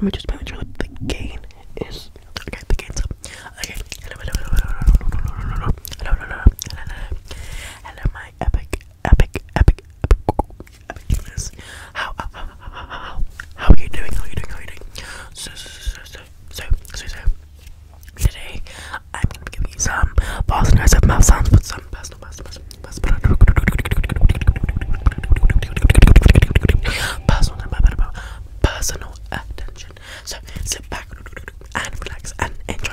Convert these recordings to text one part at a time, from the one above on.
I'm just making sure that the gain is okay. The gain's up. Okay. Hello, hello, hello, hello, hello, hello, hello, my epic, epic, epic, epicness. How, how, how, how, how are you doing? How are you doing? How are you doing? So, so, so, so, so, so, so. Today, I'm gonna be you some false immersive personal, personal attention. So sit back and relax and enjoy.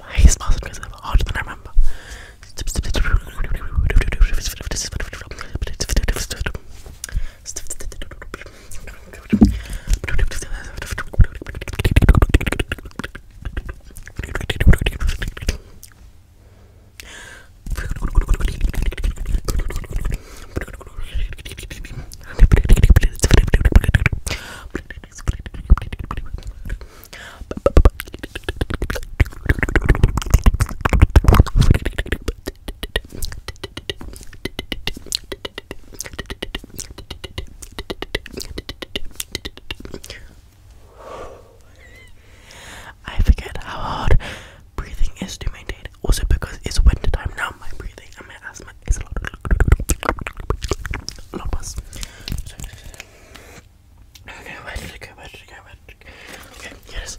My smells because I'm hotter than I remember. I forget how hard breathing is to maintain. Also, because it's winter time now, my breathing and my asthma is a lot, a lot worse. Okay, yes.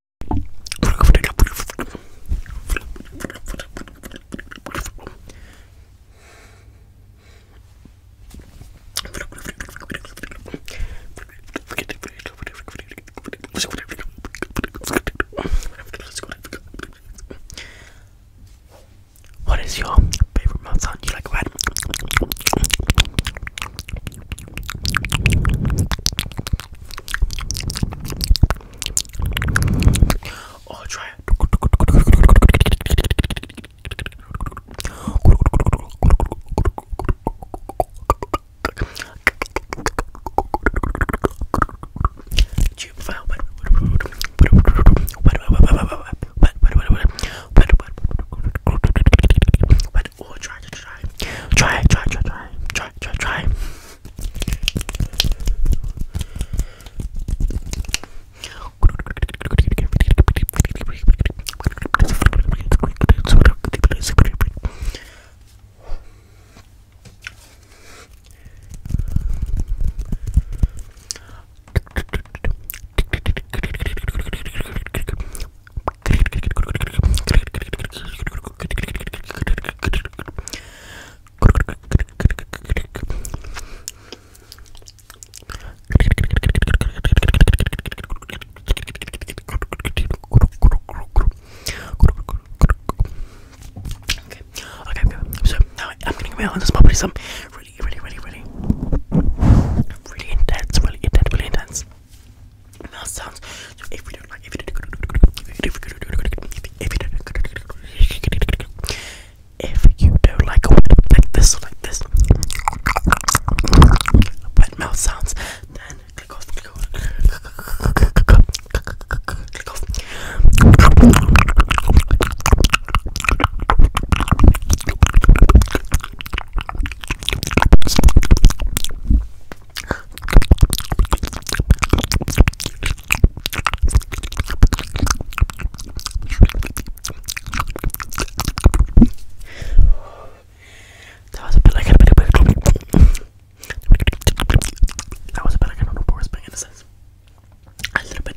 What is your favorite mountain? sound you like red? Or oh, try it. Tube file, but but oh, or try to try, try, try, try, try, try, try, Okay, okay, okay. So now I'm gonna go on this probably some really, really, really, really, really intense, really intense, really intense mouth sounds. So if you don't like, if you if you don't like a word like this or like this, wet mouth sounds, then click off, click off, click off. That was a bit like a bit That was a bit like an on a in a sense. A little bit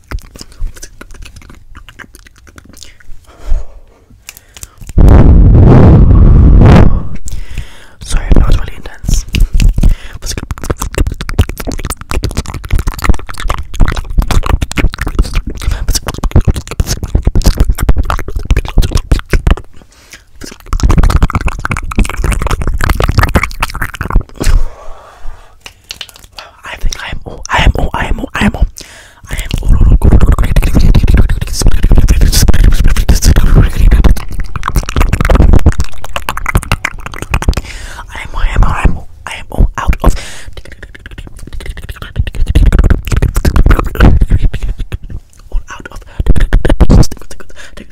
Sorry, that was really intense. Wow, I think I am oh, I am oh, I am oh, I am oh, I am oh, I am, I am, I am, I am all out of. All out of.